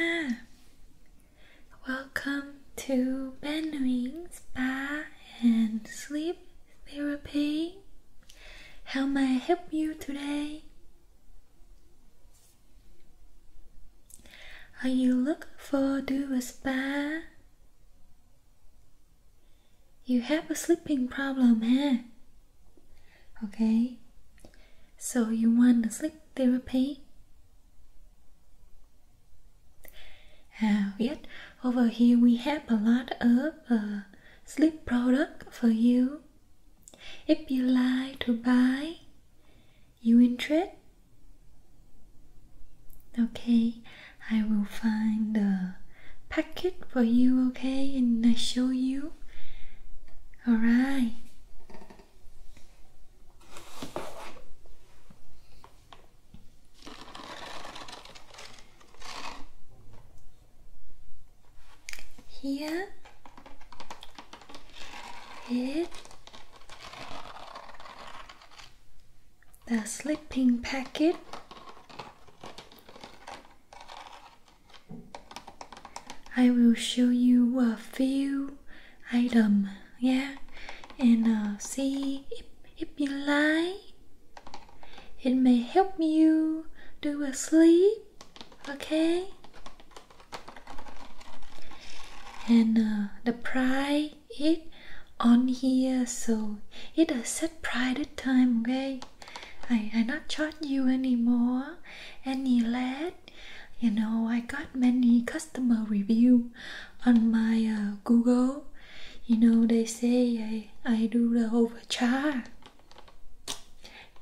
Ah. Welcome to Ben Wings Bar and sleep therapy. How may I help you today? Are you looking for do a spa? You have a sleeping problem, huh? Eh? Okay. So you want a sleep therapy? Uh, yet over here we have a lot of a uh, sleep product for you. If you like to buy, you interested? Okay, I will find the packet for you, okay, and I show you. Alright. Here it the slipping packet I will show you a few item yeah and I'll uh, see if you like. It may help you do a sleep, okay? And uh, the price is on here, so it a set price at time, okay? I I not charge you anymore, any less. You know, I got many customer review on my uh, Google you know they say I I do the overcharge.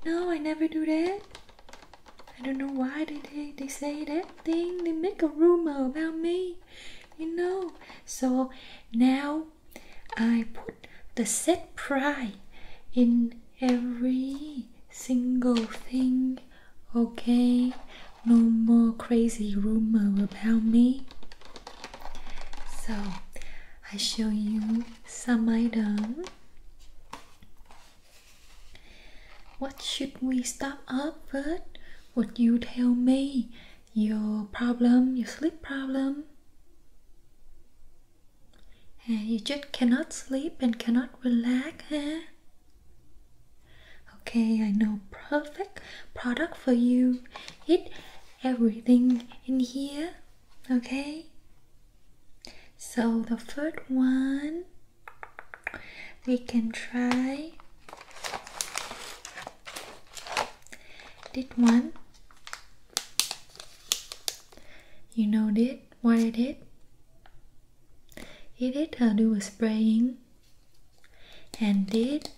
No, I never do that. I don't know why they, they they say that thing. They make a rumor about me. You know. So now I put the set price in every single thing. Okay. No more crazy rumor about me. So I show you some item. What should we start up with? Would you tell me your problem, your sleep problem? And eh, you just cannot sleep and cannot relax, huh? Eh? Okay, I know perfect product for you. It everything in here okay so the first one we can try did one you know did what I did He did her do a spraying and did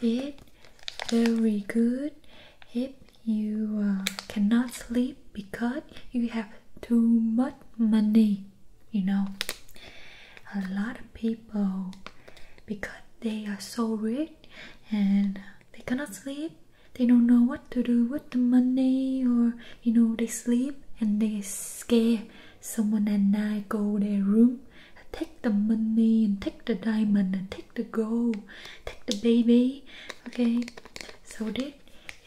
it very good if you uh, cannot sleep because you have too much money you know a lot of people because they are so rich and they cannot sleep they don't know what to do with the money or you know they sleep and they scare someone at night go their room Take the money and take the diamond and take the gold, take the baby. Okay, so that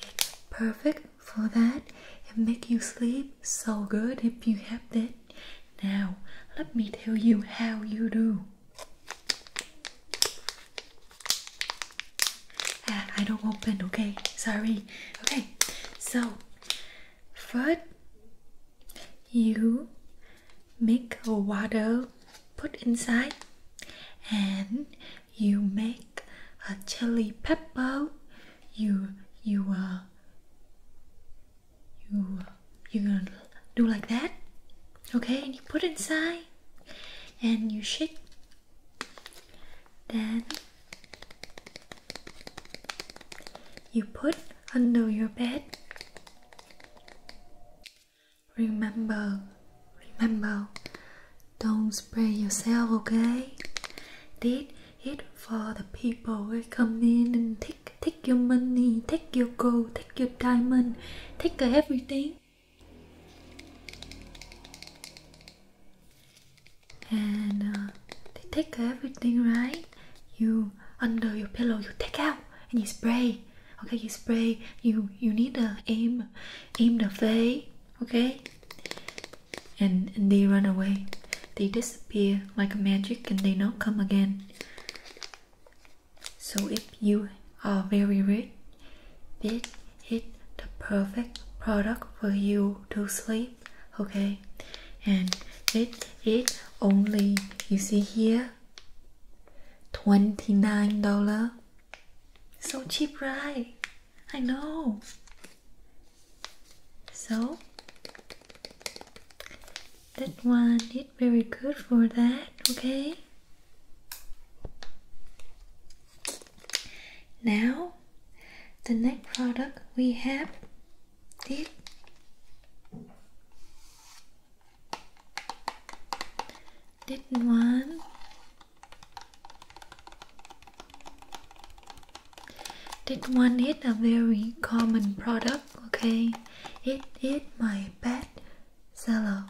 it's perfect for that. It make you sleep so good if you have that. Now let me tell you how you do. Ah, I don't open. Okay, sorry. Okay, so what you make a water put inside and you make a chili pepper you you uh, you you gonna do like that okay and you put inside and you shake then you put under your bed Remember, remember, don't spray yourself, okay? Did it for the people who come in and take, take your money, take your gold, take your diamond, take everything. And uh, they take everything, right? you under your pillow you take out and you spray okay you spray you you need to aim aim the way. okay and, and they run away they disappear like magic and they not come again so if you are very rich this is the perfect product for you to sleep okay and it it only you see here $29 so cheap right i know so that one is very good for that okay now the next product we have this did one. That one is a very common product, okay? It is my best seller.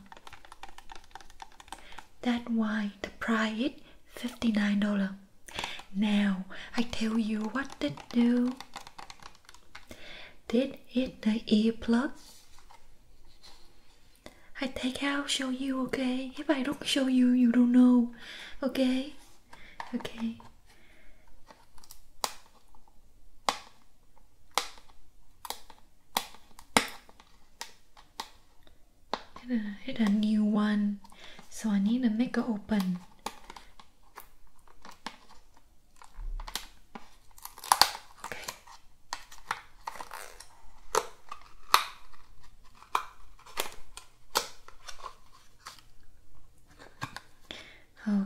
That why the price $59. Now I tell you what to do. This is the earplug. I take out, show you, okay? If I don't show you, you don't know, okay? Okay. It's a, a new one, so I need to make it open.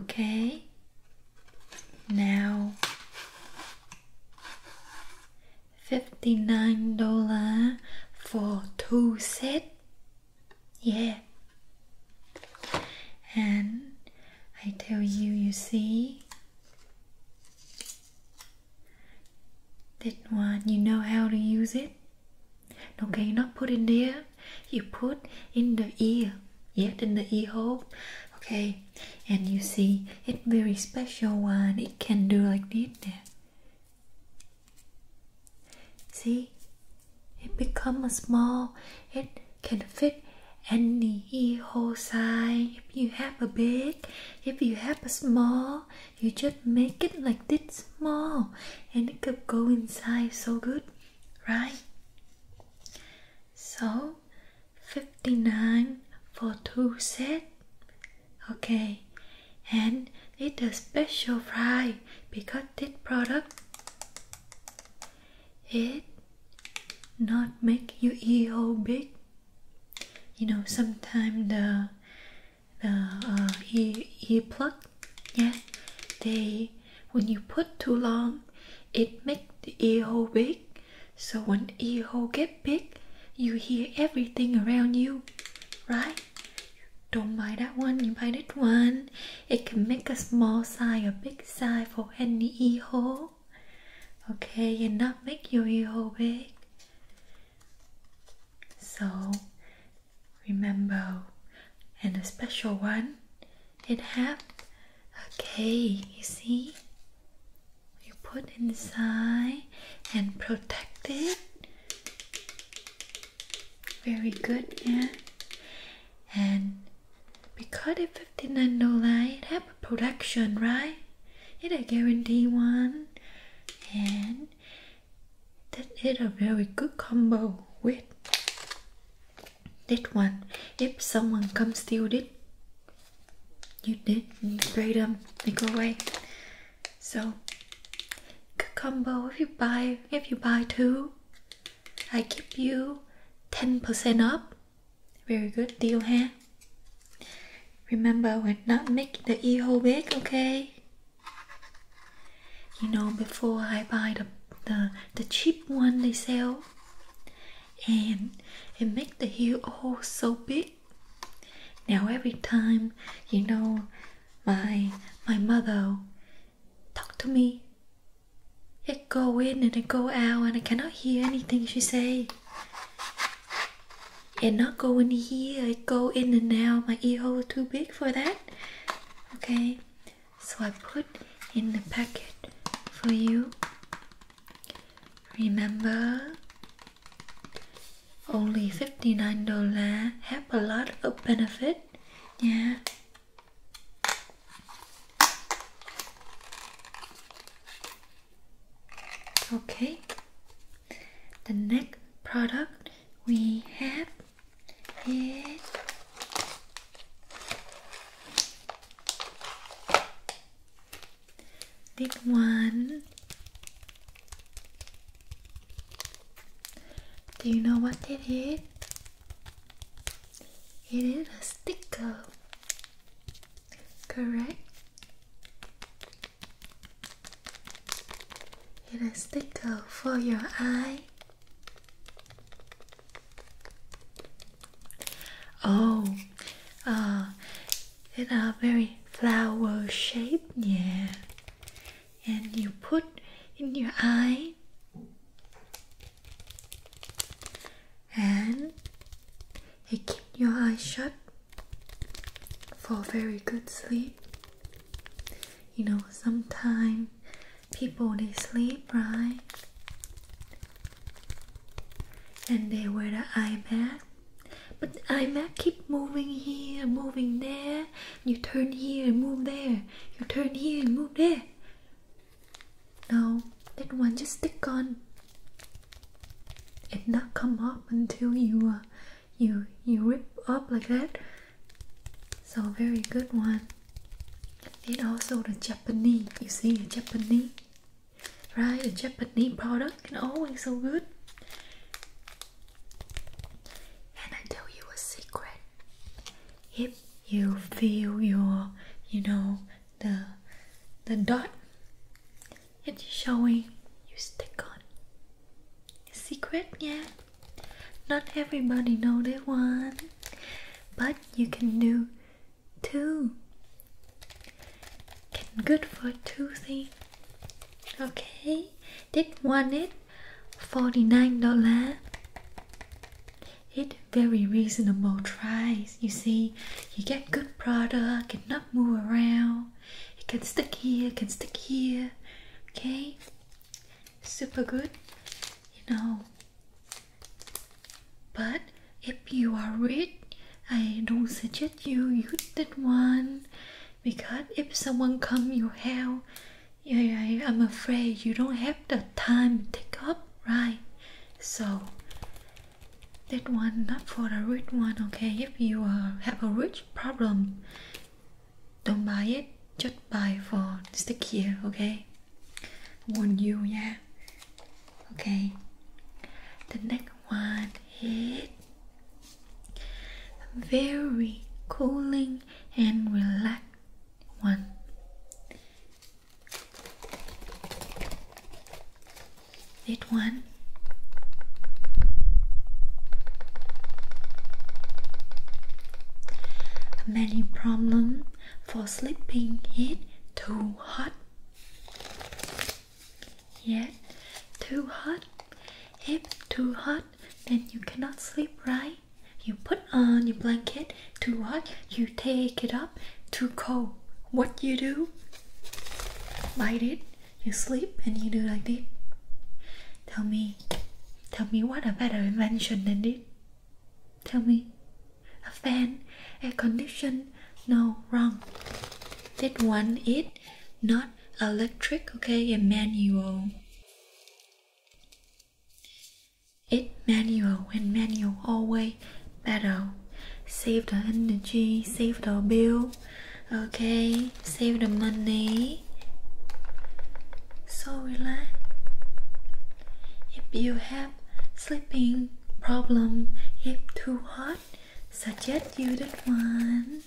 Okay. Now fifty nine dollar for two set. Yeah. And I tell you, you see that one, you know how to use it. Okay, not put in there. You put in the ear, yet in the ear hole. Okay, and you see it very special one. It can do like this. There. See, it becomes small. It can fit any hole size. If you have a big, if you have a small, you just make it like this small, and it could go inside so good, right? So, fifty nine for two set. Okay, and it's special fry because this product it not make your hole big you know sometimes the the uh, ear earplug yeah they when you put too long it make the ear hole big so when ear hole get big you hear everything around you right don't buy that one you buy that one it can make a small size a big big for any e hole. Okay, and not make your e hole big. So remember, and a special one, it have Okay, You see, you put inside and protect it. Very good, yeah. And because if 59 no light have a production, right? It a guarantee one and that is a very good combo with that one. If someone comes steal it, you did spray them, they go away. So good combo if you buy if you buy two I give you 10% up. Very good deal, here. Remember, we're not make the e EO big, okay? You know, before I buy the, the, the cheap one they sell, and it make the EO so big. Now every time, you know, my my mother Talk to me. It go in and it go out and I cannot hear anything she say. It not go in here, It go in and out. My ear hole too big for that. Okay, so I put in the packet for you. Remember, only fifty nine dollar. Have a lot of benefit. Yeah, Okay, the next product we have is this one. Do you know what it is? It is a sticker, correct? It is a sticker for your eye. Oh, uh, it are very flower shaped, yeah. And you put in your eye and you keep your eyes shut for very good sleep. You know, sometimes people they sleep right and they wear the eye mask. But the eye mask keep moving here, moving there. You turn here and move there. You turn here and move there. No, that one just stick on. It not come up until you uh, you you rip up like that. So very good one. And also the Japanese. You see the Japanese, right? The Japanese product and always so good. And I tell you a secret. If you feel your, you know, the the dot it's showing you stick on a secret yeah not everybody know that one but you can do two can good for two things okay this one it 49 dollar it very reasonable price. You see, you get good product, it not move around. It can stick here, can stick here. Okay, super good. You know. But if you are rich, I don't suggest you use that one because if someone come your house, yeah, I'm afraid you don't have the time to take up right so that one not for the rich one okay if you uh, have a rich problem don't buy it just buy for stick here okay warn you yeah okay the next one is very cooling and relaxed one that one. A many problem for sleeping It too hot. Yeah, too hot. If too hot, then you cannot sleep right. You put on your blanket too hot, you take it off. To too What you do? Light it, you sleep and you do like this. Tell me, tell me what a better invention than this. Tell me, a fan, a condition, no wrong. That one is not electric, okay, a manual. It manual and manual always better. Save the energy, save the bill, okay, save the money. So relax. If you have sleeping problem, if too hot, suggest you this one.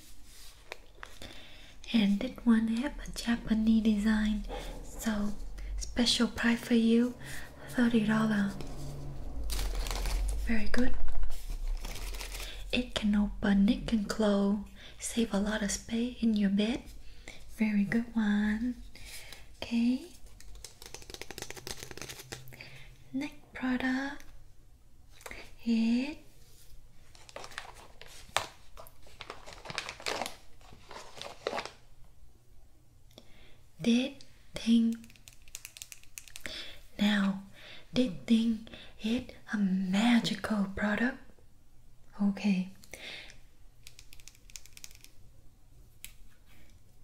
And this one have a Japanese design, so special price for you. $30. Very good. It can open, it can close. Save a lot of space in your bed. Very good one. Okay. Next product It. Did thing. Now, did thing is a magical product? Okay.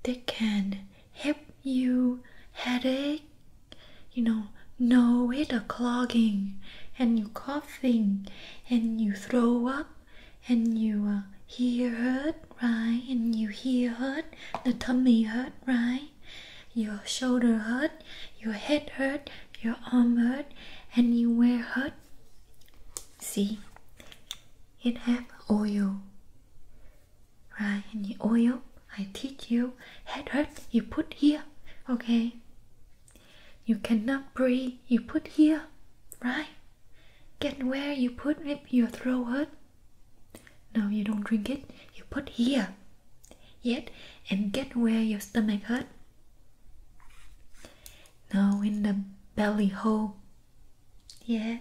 They can help you headache, you know, no with a clogging and you coughing and you throw up and you uh, hear hurt, right? And you hear hurt, the tummy hurt, right? Your shoulder hurt, your head hurt, your arm hurt, and you wear hurt. See, it have oil, right? And the oil, I teach you, head hurt, you put here, okay? You cannot breathe, you put here, right? Get where you put your throat hurt. No, you don't drink it. You put here. Yet, and get where your stomach hurt. No, in the belly hole. Yeah.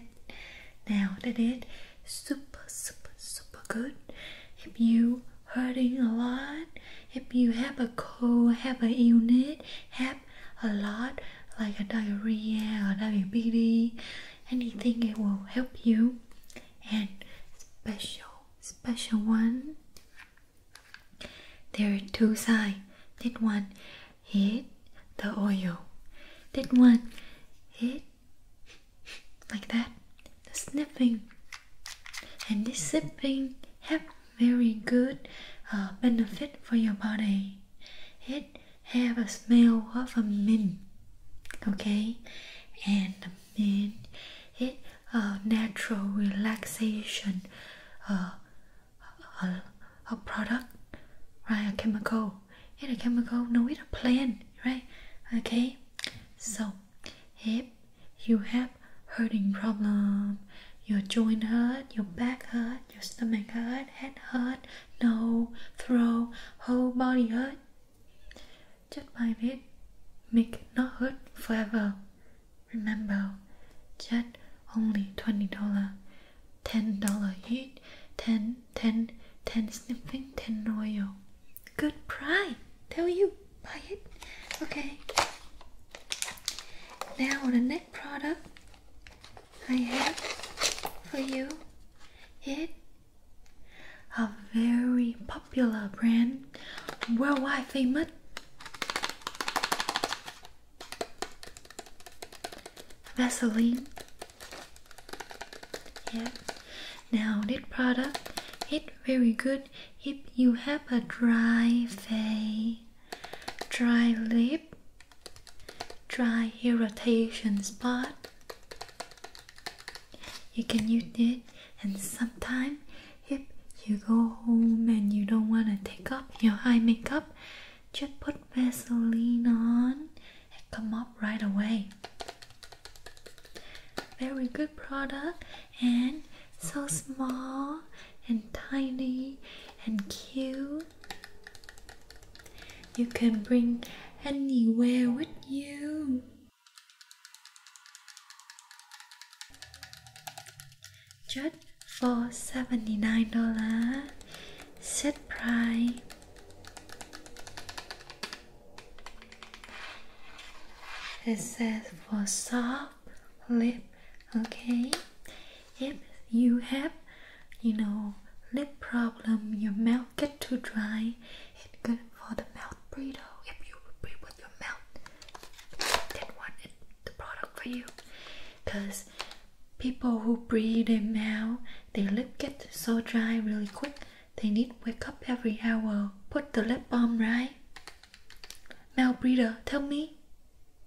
Now that is super, super, super good. If you hurting a lot, if you have a cold, have a unit, have a lot, like a diarrhea or diabetes, anything it will help you. And special, special one. There are two side. That one hit the oil. That one hit like that. The sniffing and this sipping have very good uh, benefit for your body. Hit have a smell of a mint okay and the mint it a natural relaxation uh, a, a product right a chemical it's a chemical no it's a plant right okay so if you have hurting problem your joint hurt your back hurt your stomach hurt head hurt no throw whole body hurt just buy it make not hurt forever remember just only twenty dollar ten dollar each ten ten ten sniffing ten oil. good price tell you buy it okay now on the next product I have for you it a very popular brand worldwide famous Vaseline. Yeah. Now this product it very good if you have a dry face, dry lip, dry irritation spot. You can use it, and sometime if you go home and you don't want to take off your eye makeup, just put Vaseline on and come up right away. Very good product and so small and tiny and cute you. can bring anywhere with you. Just for $79 set price. It says for soft lip, okay? If you have, you know, lip problem, your mouth get too dry, it's good for the mouth breather. If you breathe with your mouth, then one the product for you. Cause people who breathe in mouth, their lip get so dry really quick. They need wake up every hour. Put the lip balm right. Mouth breather, tell me.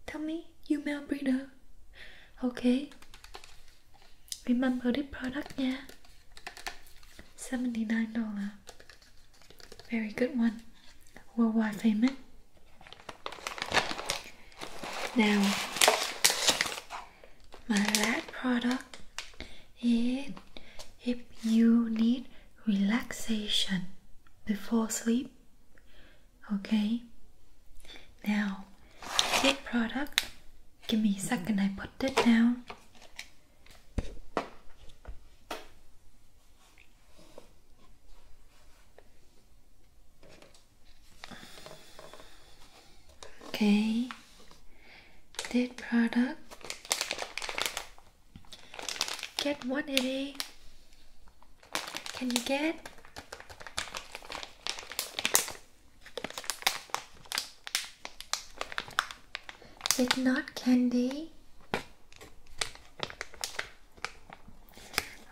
Tell me you male breeder. Okay. Remember this product, yeah? $79. Very good one. Worldwide payment? Now, my last product is if you need relaxation before sleep, Okay. Now, this product. Give me a second. I put it down. Okay. This product. Get one, one eighty. Can you get? It's not candy.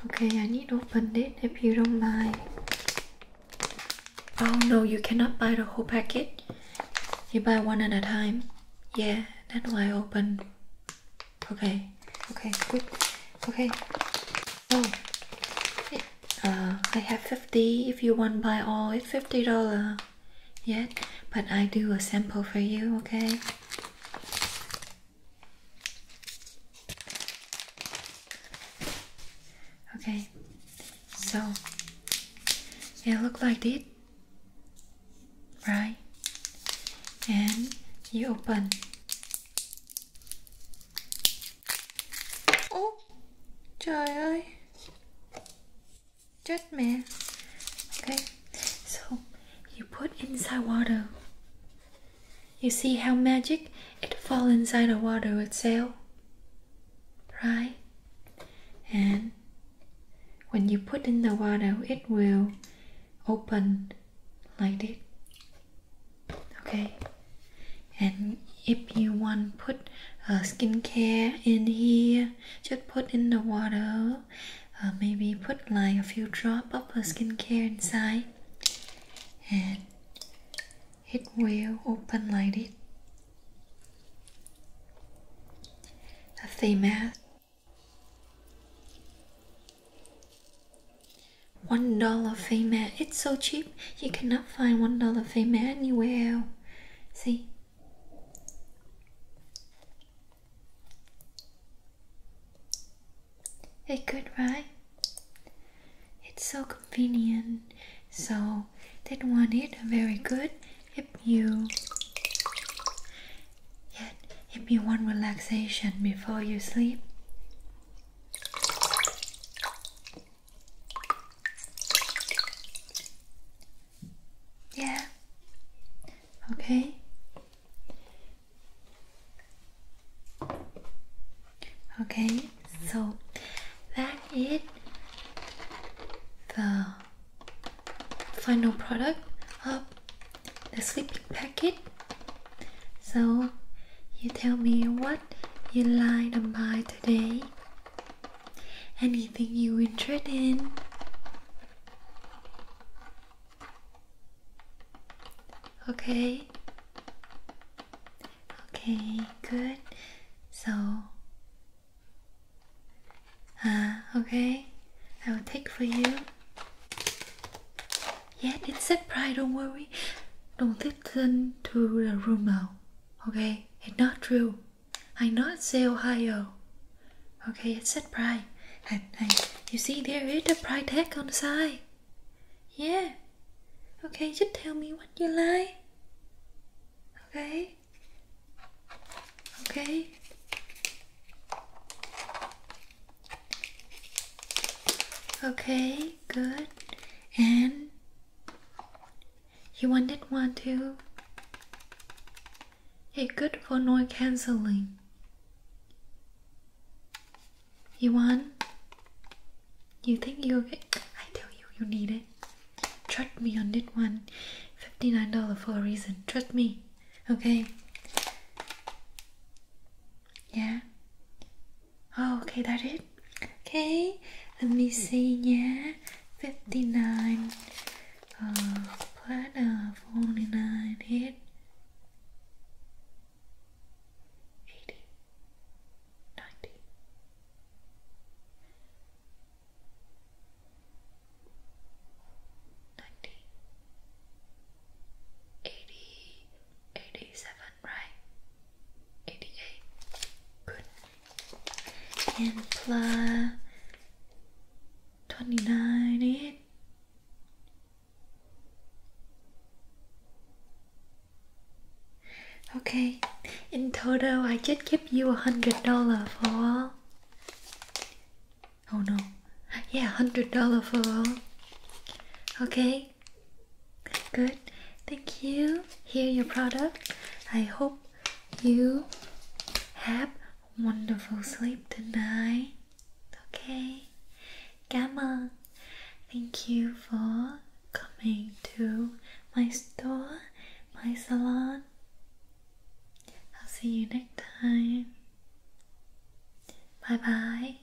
Okay, I need to open it if you don't mind. Oh no, you cannot buy the whole packet. You buy one at a time. Yeah, that's why I opened. Okay, okay, good. Okay. Oh, it Uh, I have 50 if you want buy all it's $50 yet but I do a sample for you okay okay so it look like this right and you open Ô trời ơi Chết mẹ Okay So you put inside water You see how magic it fall inside the water sail, Right And when you put in the water it will open like it, okay and if you want put a uh, skincare in here just put in the water uh, maybe put like a few drop of skincare inside and it will open like it. a thin mask one dollar female. It's so cheap. You cannot find one dollar female anywhere. See. It's good, right? It's so convenient. So that one it? very good if you yet if you want relaxation before you sleep. Yeah. Okay. Okay, so that is the final product of the sleeping packet so, you tell me what you like to buy today. Anything you interested in? Okay. Okay, good. So, ah, okay. I will take for you. Yeah, it's a pride, don't worry. Don't listen to the rumor. Okay? It's not true. I'm not say Ohio. Okay, it's a pride. And, and you see there is a pride tag on the side. Yeah. Okay, you tell me what you like. Okay? Okay? Okay, good and you wanted one too. It's good for noise cancelling. You want? You think you will get? I tell you, you need it. Trust me on this one. $59 for a reason. Trust me. Okay? Yeah? Oh, okay, that it? Okay, let me see Yeah, 59 uh, oh, platter 49 hit 80 90 90 80 87 right 88. Good. And plus 29 it. Okay, in total, I just give you a hundred dollar for all. Oh no, yeah, hundred dollar for all. Okay, good. Thank you. Here your product. I hope you have wonderful sleep tonight. Okay. Gamma, thank you for coming to my store, my salon. I'll see you next time. Bye bye.